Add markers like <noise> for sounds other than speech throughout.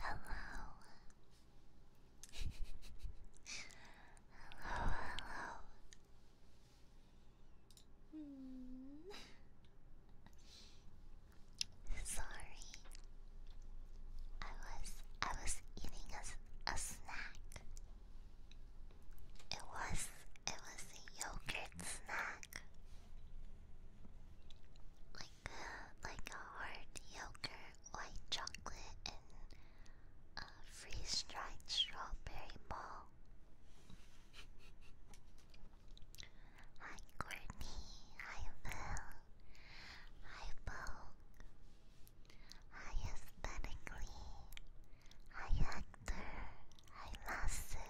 Hello. hello, hello. Mm. <laughs> Sorry. I was I was eating a, a snack. It was it was a yogurt snack. Like a, like a hard yogurt, white chocolate, and a freeze dried strawberry ball. Hi Courtney, hi Phil, hi Poke, I aesthetically. I actor. Hi lasso.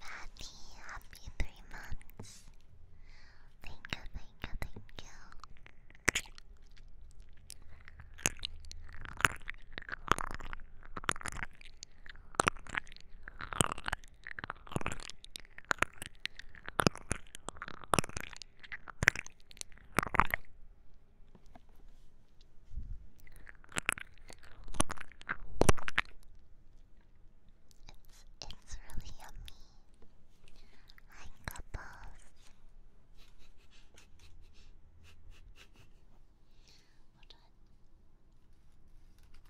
Maddie, happy three months. Thank you, thank you, thank you. It's really yummy. I got both. Hold on.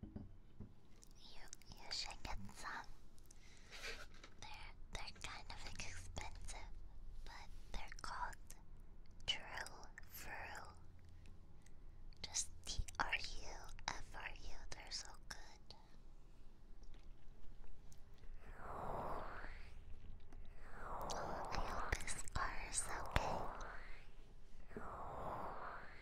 You you should get some. They're they're kind of expensive, but they're called True Fru. Just T R U F R U. They're so good. Oh, I hope his car is okay.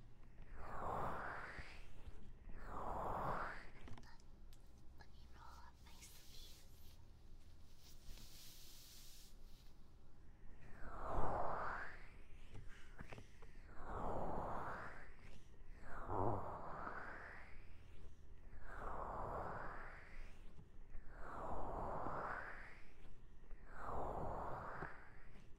Let me roll up my sleeve.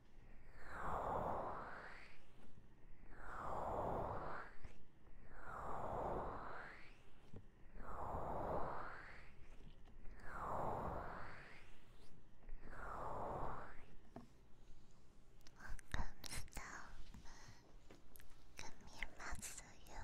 Welcome, Snow. Come here, Matsuyo.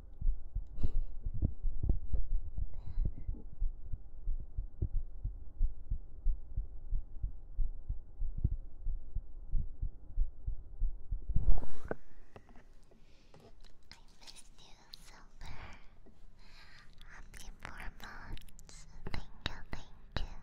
Happy four months. Thank you, thank you.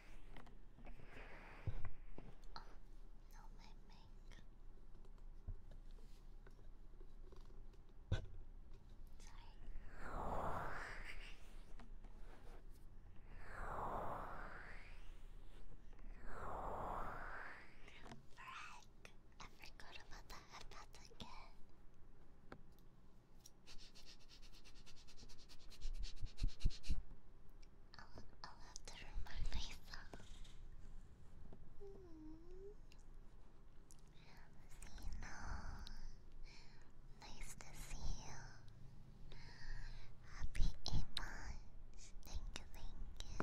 Oh, no, my mic. Sorry. Frag. I forgot about the headbutt again. I'll, I'll have to remind myself. nice to see you. Happy eight thank you.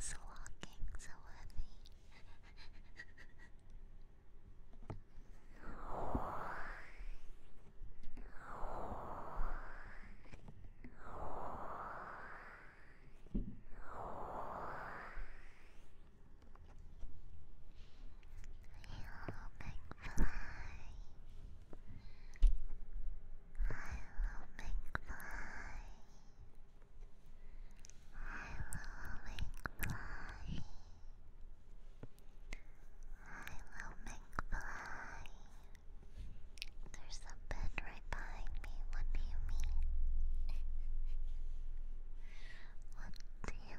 Someone is walking so heavy. <laughs> I will make fly. fly. I will make fly. fly. I will make fly. fly. I love There's a bed right behind me. What do you mean? <laughs> what do you mean?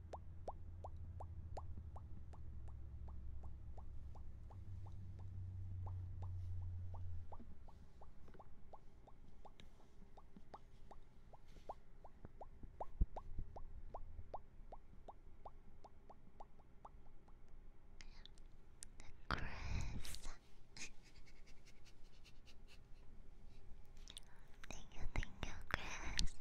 Chris. thank you, thank you, Chris.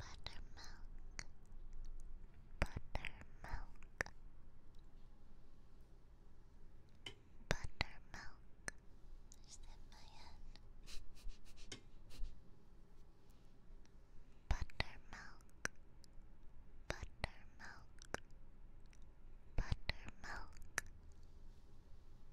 Buttermilk, buttermilk, buttermilk. Is buttermilk, buttermilk, buttermilk,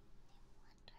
wonder.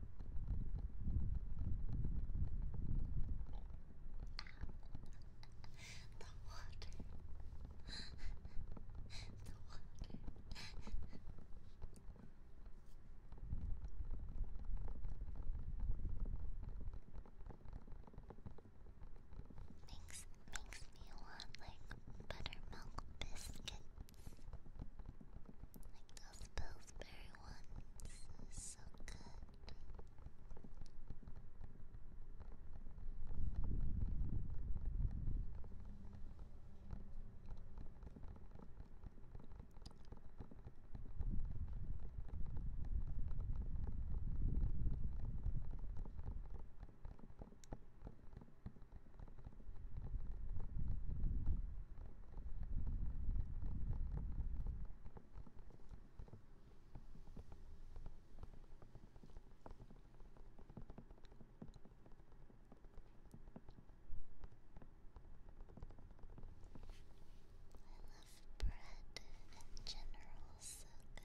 The water. the water. makes makes me want like buttermilk biscuits. Those Pillsbury ones are so good. I love bread in general, so good.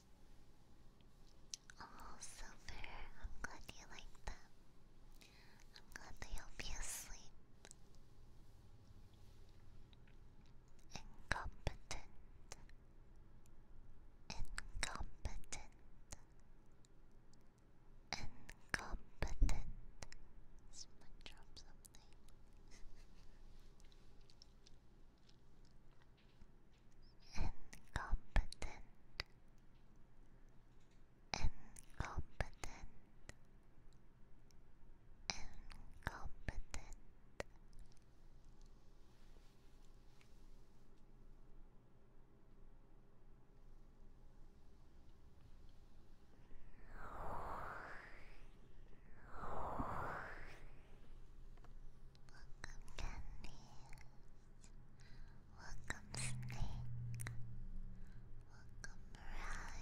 Oh, Silver, I'm glad you like that. I'm glad they help you sleep. Incompetent. Incompetent. Incompetent. Someone drop something. Incompetent. Incompetent. Incompetent. Welcome, Candy. Welcome, Snake. Welcome, Rye.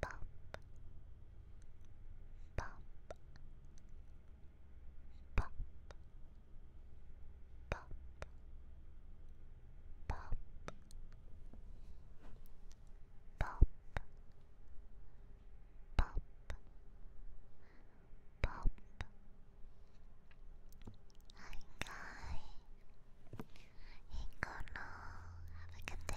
Pop. Bump. Bump. Bump. Bump. Bump. Bump. Bump. Hi guys. Inkono, have a good day.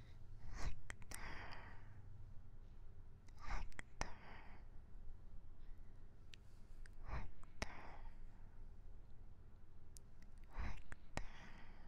Hector, Hector, Hector, Hector, Hector, Hector.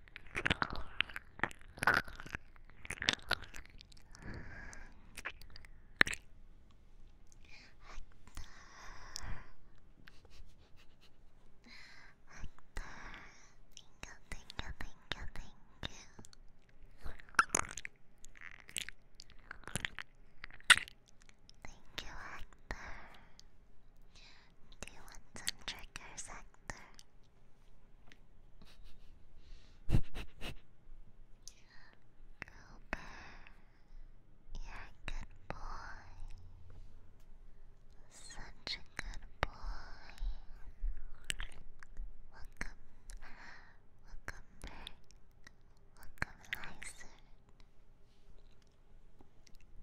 Thank you, Hector. Do you want some triggers, Hector? Cooper, you're good boy. Such a good boy. Welcome, welcome back. Welcome, Lysert.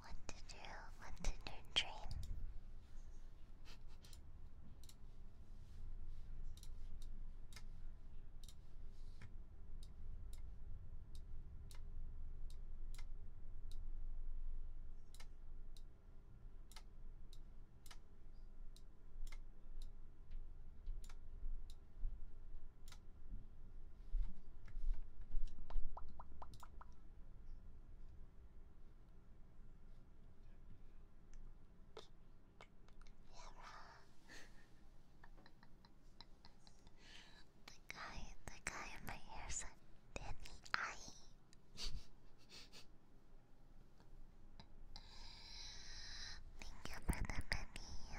What did you, what did you dream? the guy, the guy in my hair "Danny, thank you for the many Thank you, thank you.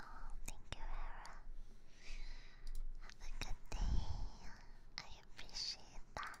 Oh, thank you, Hera. Have a good day. I appreciate that.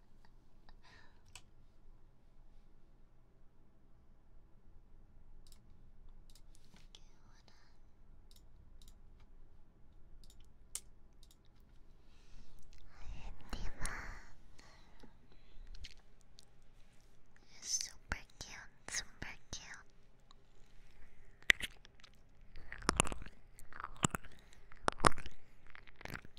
hold on. super cute, super cute.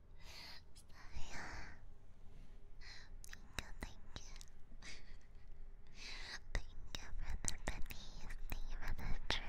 Sorry. Thank you, thank you. thank you for the pennies. Lucky, lucky.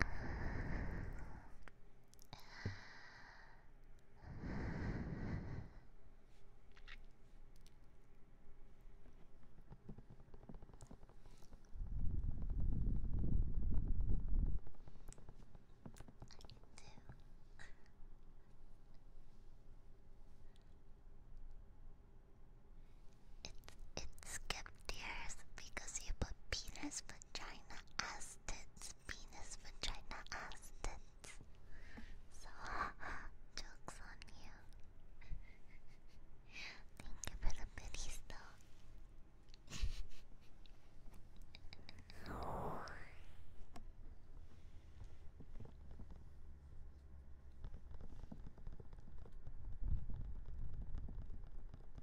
It it skipped yours because you put penis, vagina as tits. Penis vagina as tits. <laughs> jokes on you. Thank you for the biddies though.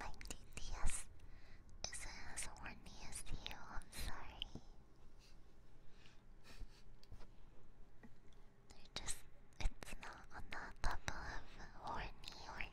My ds is as horny as you, I'm sorry. they just, it's not on that of horny, horny.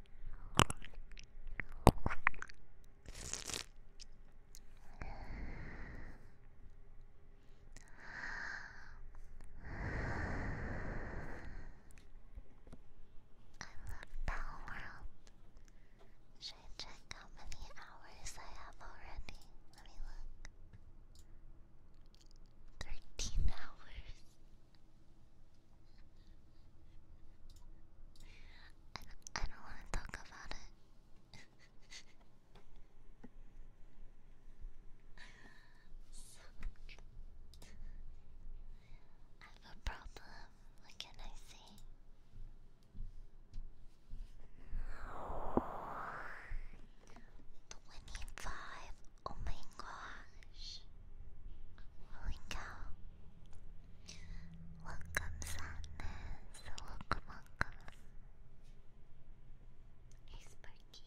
that world. Should I check how many hours I have already? Let me look. Thirteen hours. I don't, want to talk about it. I have a problem. What can I say? Twenty-five Oh my gosh. Holy cow. Welcome, sadness. Welcome, welcome. Hey, Sparky.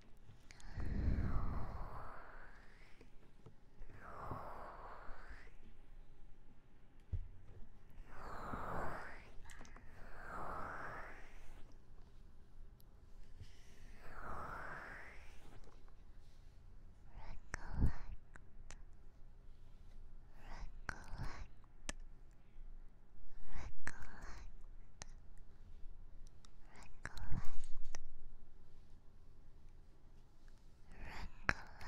Recollect, recollect, recollect, recollect, recollect, recollect. Recollect.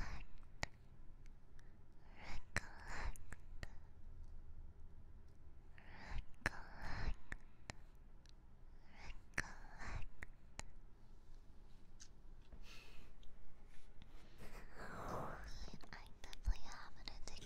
I definitely have an addiction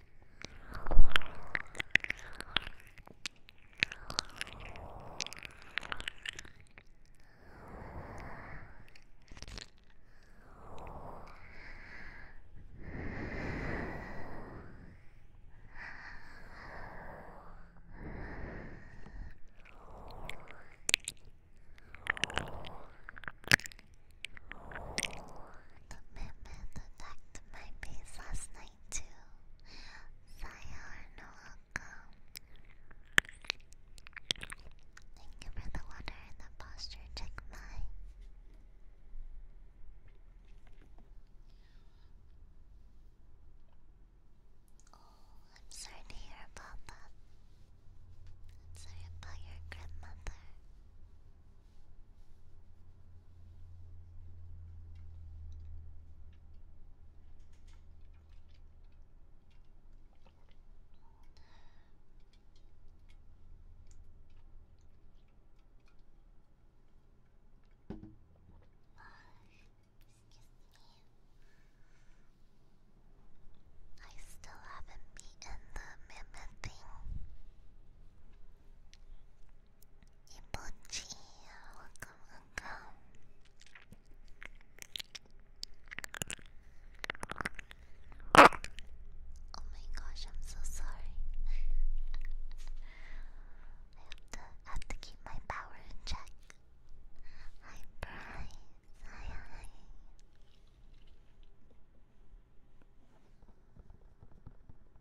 The Mimith attacked my base last night like to. Sayonara, welcome. Thank you for the water and the posture. Check my. Oh, I'm sorry to hear about that. I'm sorry about your grandmother. Excuse me. I still haven't beaten the mammoth thing. Ibochi, welcome, welcome. Oh my gosh, I'm so sorry. I have to have to keep my power in check. Hi Bryce. Hi hi.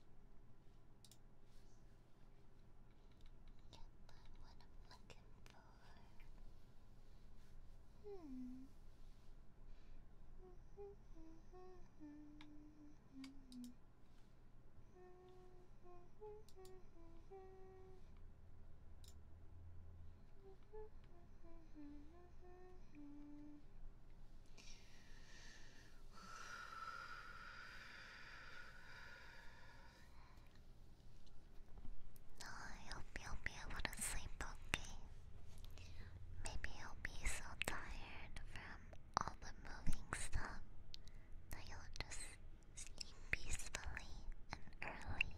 Get that what I'm looking for. Hmm. I hope you'll be able to sleep okay. Maybe you'll be so tired from all the moving stuff that you'll just sleep peacefully and early.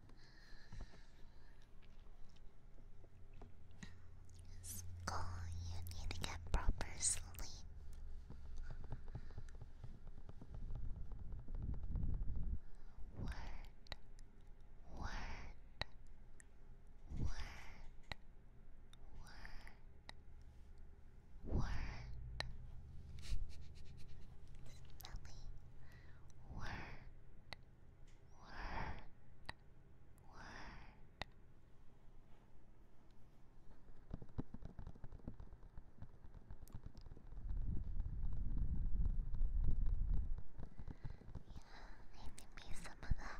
School, you need to get proper sleep. Word, word, word, word, word. Smelly word, word, word. Yeah, I need me some of that.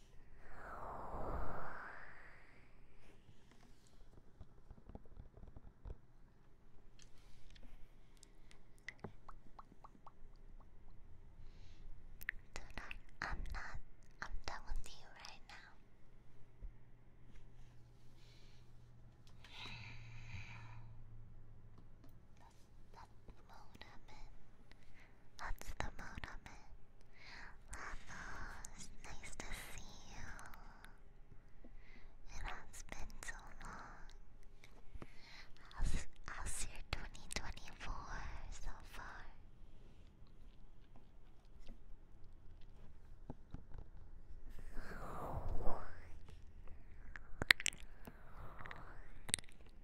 I, I'm not. I'm done with you right now. That's the mode I'm in. Lathos, nice to see you. It has been so long. How's, how's your 2024 so far? <laughs>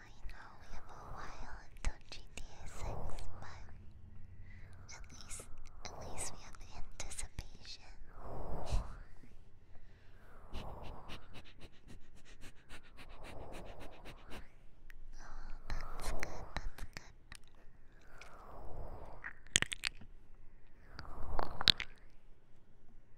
I know, we have a while until GTA 6, but at least, at least we have the anticipation. <laughs> Oh, that's good, that's good.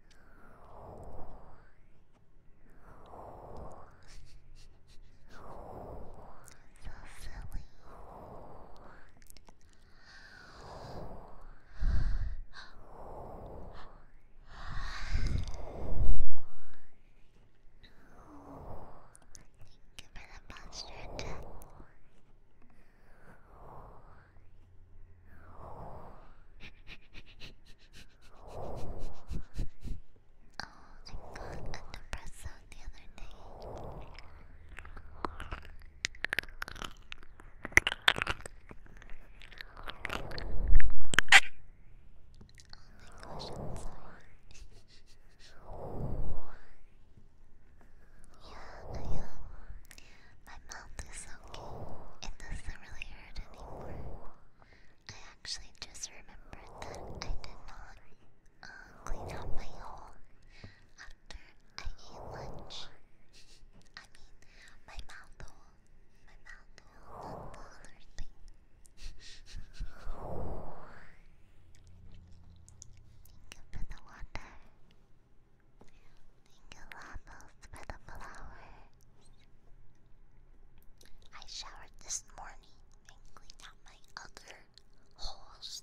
silly. Give me the monster attack. Oh, got a depresso the other day. Oh my gosh, I'm sorry. yeah, I, um, my mouth is okay. It doesn't really hurt anymore. I actually just remembered that I did not uh, clean out my hole after I ate lunch. I mean, my mouth hole. My mouth hole, not the other thing. <laughs> Thank you the water. Thank you, Lamos, the flowers. I showered this morning and cleaned out my other holes.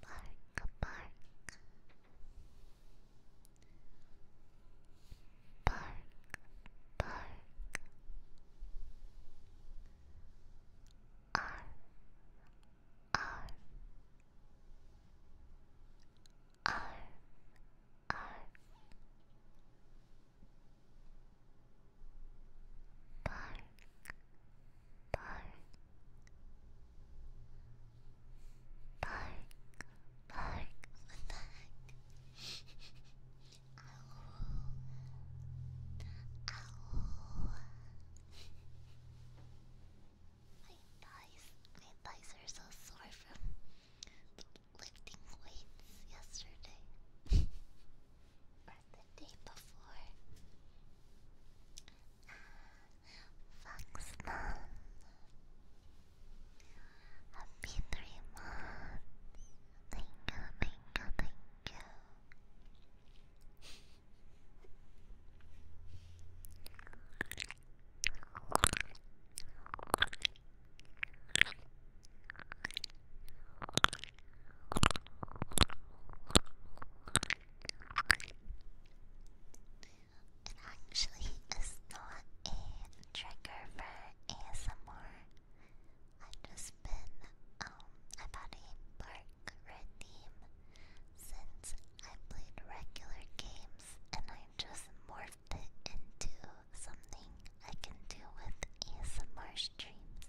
Bark, bark. Bark, bark. R, R. R, R. Bark, bark, bark, bark. What Ow, ow. My thighs, my thighs are so sore from lifting weights yesterday. <laughs> or the day before. Uh, ah, Foxman. Happy three months. Thank you, thank you, thank you. It actually is not a trigger for ASMR. I've just been, um, i bark routine since I played regular games and I just morphed it into something I can do with ASMR streams. Yeah.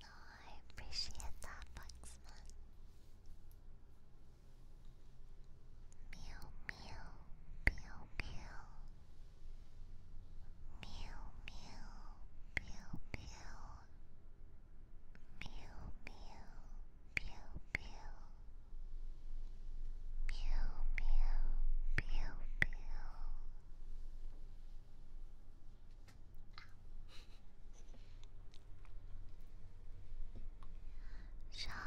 No, I appreciate that, Bugsman. Meow, meow, meow, meow. Meow, meow, meow, meow. Pew, pew, pew, pew. Pew, pew, pew, pew. Shark.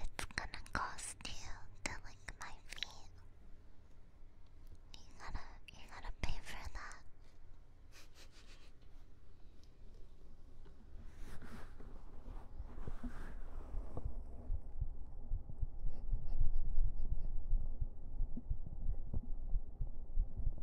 It's gonna cost you to lick my feet. You gotta, you gotta pay for that.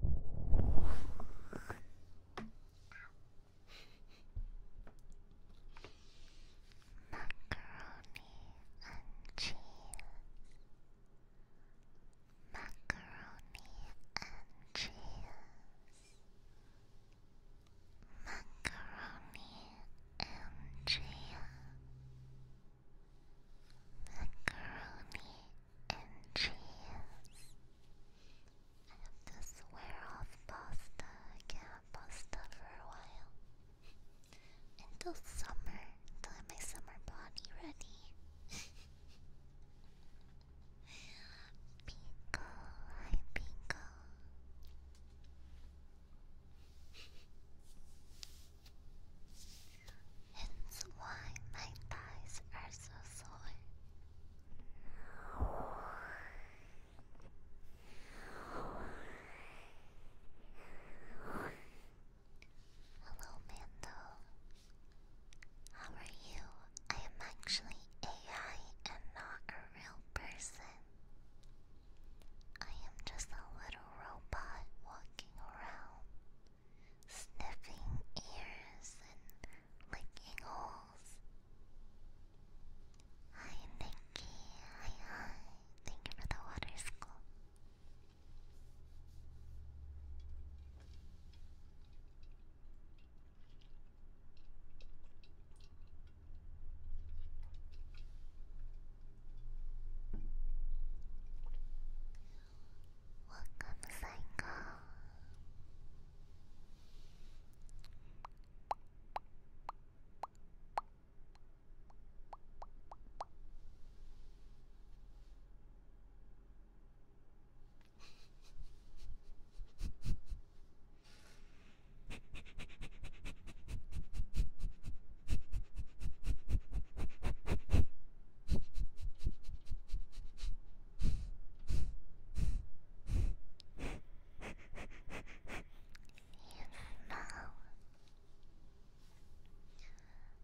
Macaroni and cheese. Macaroni and cheese. Macaroni and cheese. Macaroni and cheese. I have to swear off pasta. I can't pasta for a while. Until summer, until I have my summer body ready. Pinko, hi Pinko. Hence why my thighs are so sore. Hello, Mando. How are you? I am actually AI and not a real person. I am just a little robot walking around sniffing ears and licking holes. Hi, Nikki. Hi, hi. the water わかんないか know,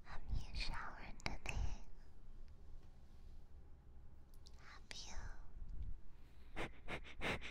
have you showered today? Have you? <laughs>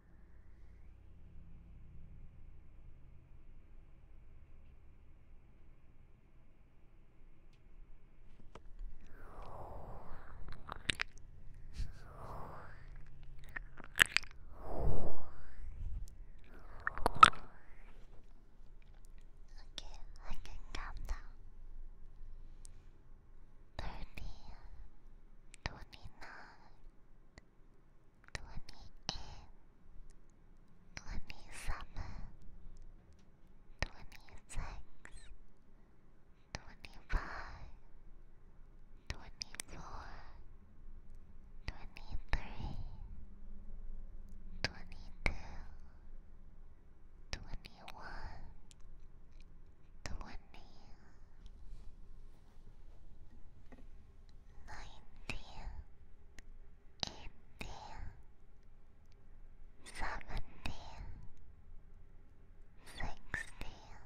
Okay, I can calm down thirty, twenty-nine, twenty-eight, twenty-seven, twenty-six, twenty-five, twenty-four, twenty-three, twenty-two, twenty-one, twenty. 20 nineteen, eighteen, seventeen, sixteen, fifteen,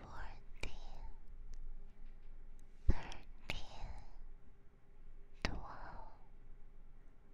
fourteen, thirteen, twelve. 11 10 9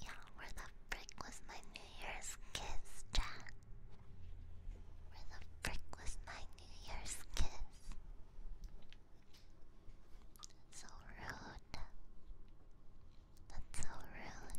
Yeah, where the frick was my New Year's kiss, chat? Where the frick was my New Year's kiss? That's so rude. That's so rude.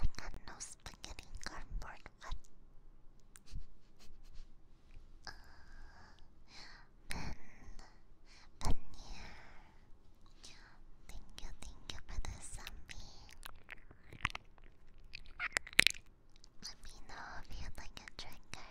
I got no spaghetti cardboard. What? Uh, ben, Thank you, thank you for the zombie. Let me know if you like a trigger.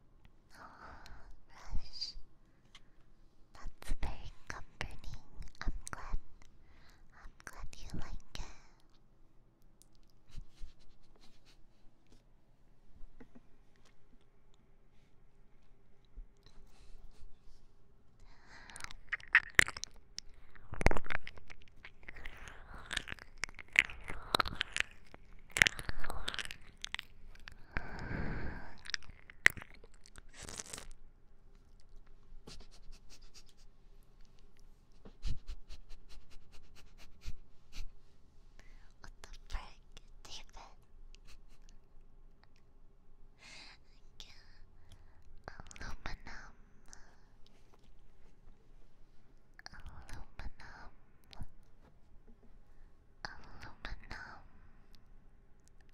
Oh, Rush. That's very comforting. I'm glad. I'm glad you like it. What the frick, David? Aluminum. Aluminum. Aluminum.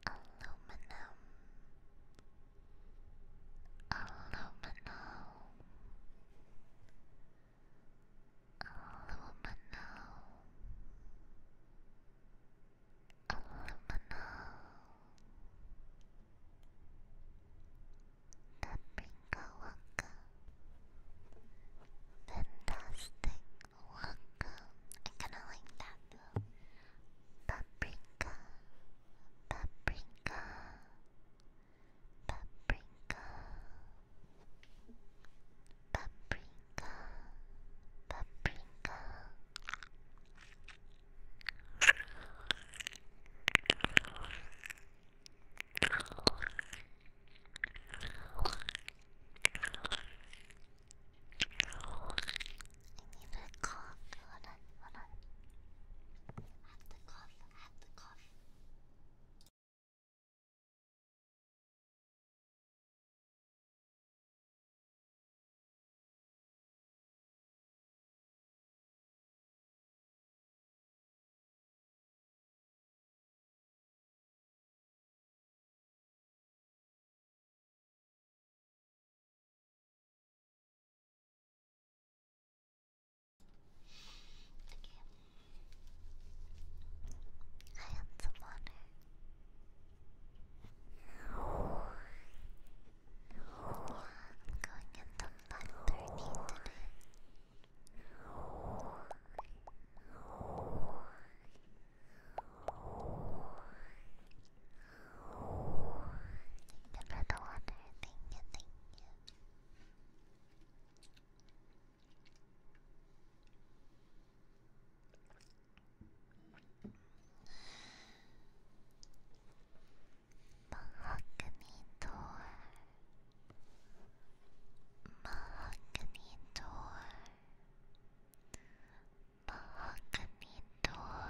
Aluminum. Aluminum. Aluminum. Aluminum a bingo Fantastic wonka. I kinda like that Paprika. Paprika. Paprika. Paprika. Paprika. cough. Hold on, hold on. I have to cough, I have to cough. I am the monarch. <sighs> I'm going into month 13 Never the water, thank you, thank you. The Hockney door. Mahogany door. Mahogany door.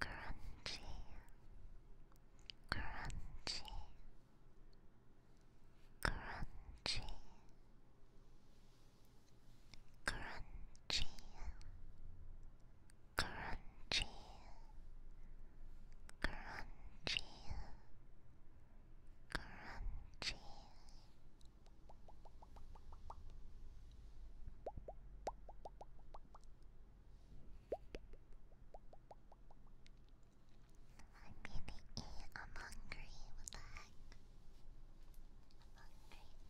Crunchy, crunchy, crunchy, crunchy, crunchy, crunchy, crunchy, I'm going I'm hungry. What the heck? I'm hungry.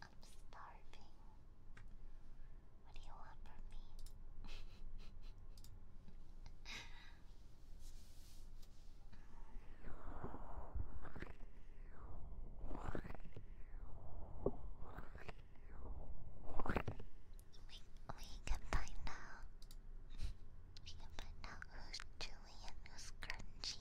I'm starving. What do you want from me? <laughs> We can find out. We can find out who's chewy and who's crunchy.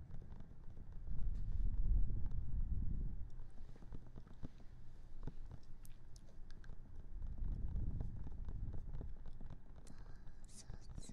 so sweet, so sweet.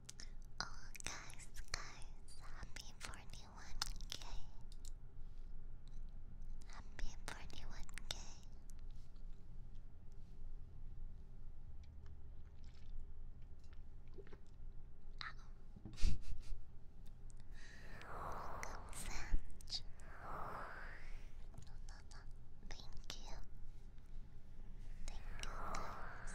Oh, guys, guys, happy 41k. Happy 41k. Welcome, Sanj. Thank you. Thank you,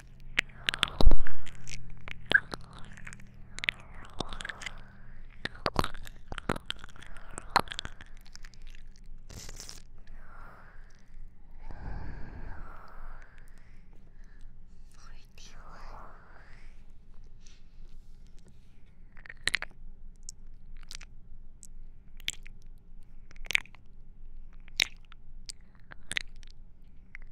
Forty-one.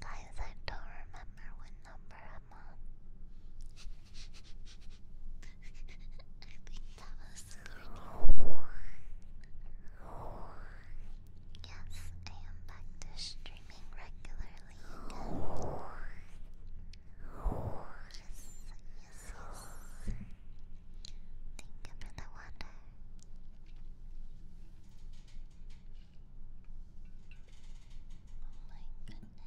Guys, I don't remember what number I'm on. <laughs> I think that was good. Yes, I am back to streaming regularly Yes, yes, yes. Thank you for the water. Oh my goodness.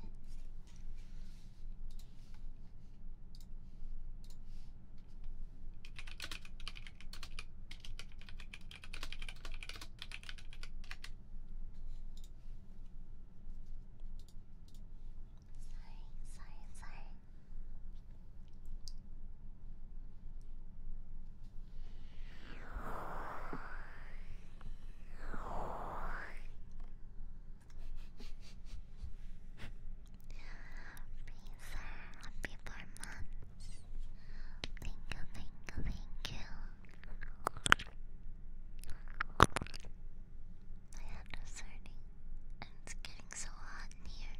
Sorry, sorry, sorry happy four months. Thank you, thank you, thank you. My head is hurting. It's getting so hot in here.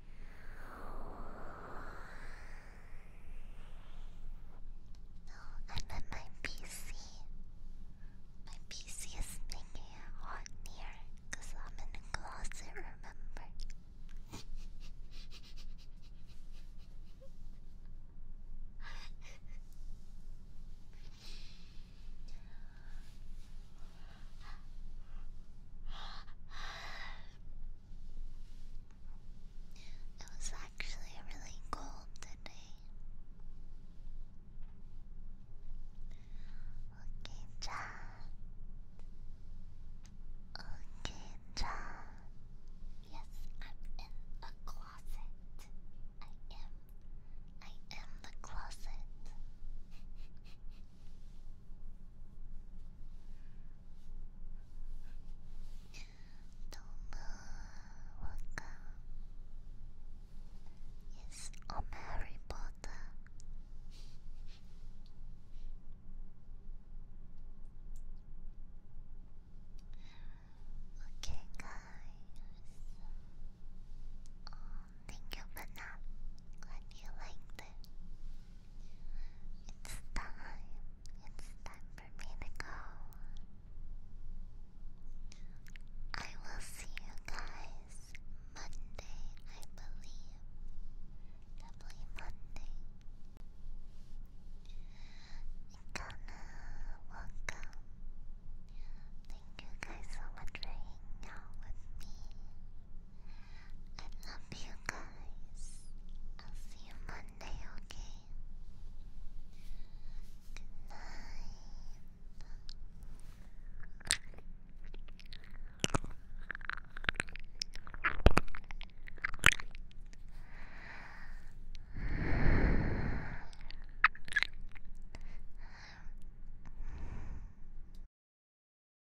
No, I'm at my PC. My PC is nowhere or near because I'm in the closet, remember? It was actually really cold today. Okay, chat. Okay, chat. Yes, I'm in the closet. I am. I am the closet. <laughs> Waka Yes, i Harry Potter. Okay, guys. Oh, thank you, Banana. Glad you liked it. It's time. It's time for me to go. I will see you guys Monday, I believe. Definitely Monday. Ikana, welcome. Thank you guys so much for hanging out with me. I love you guys. I'll see you Monday, okay? Good night.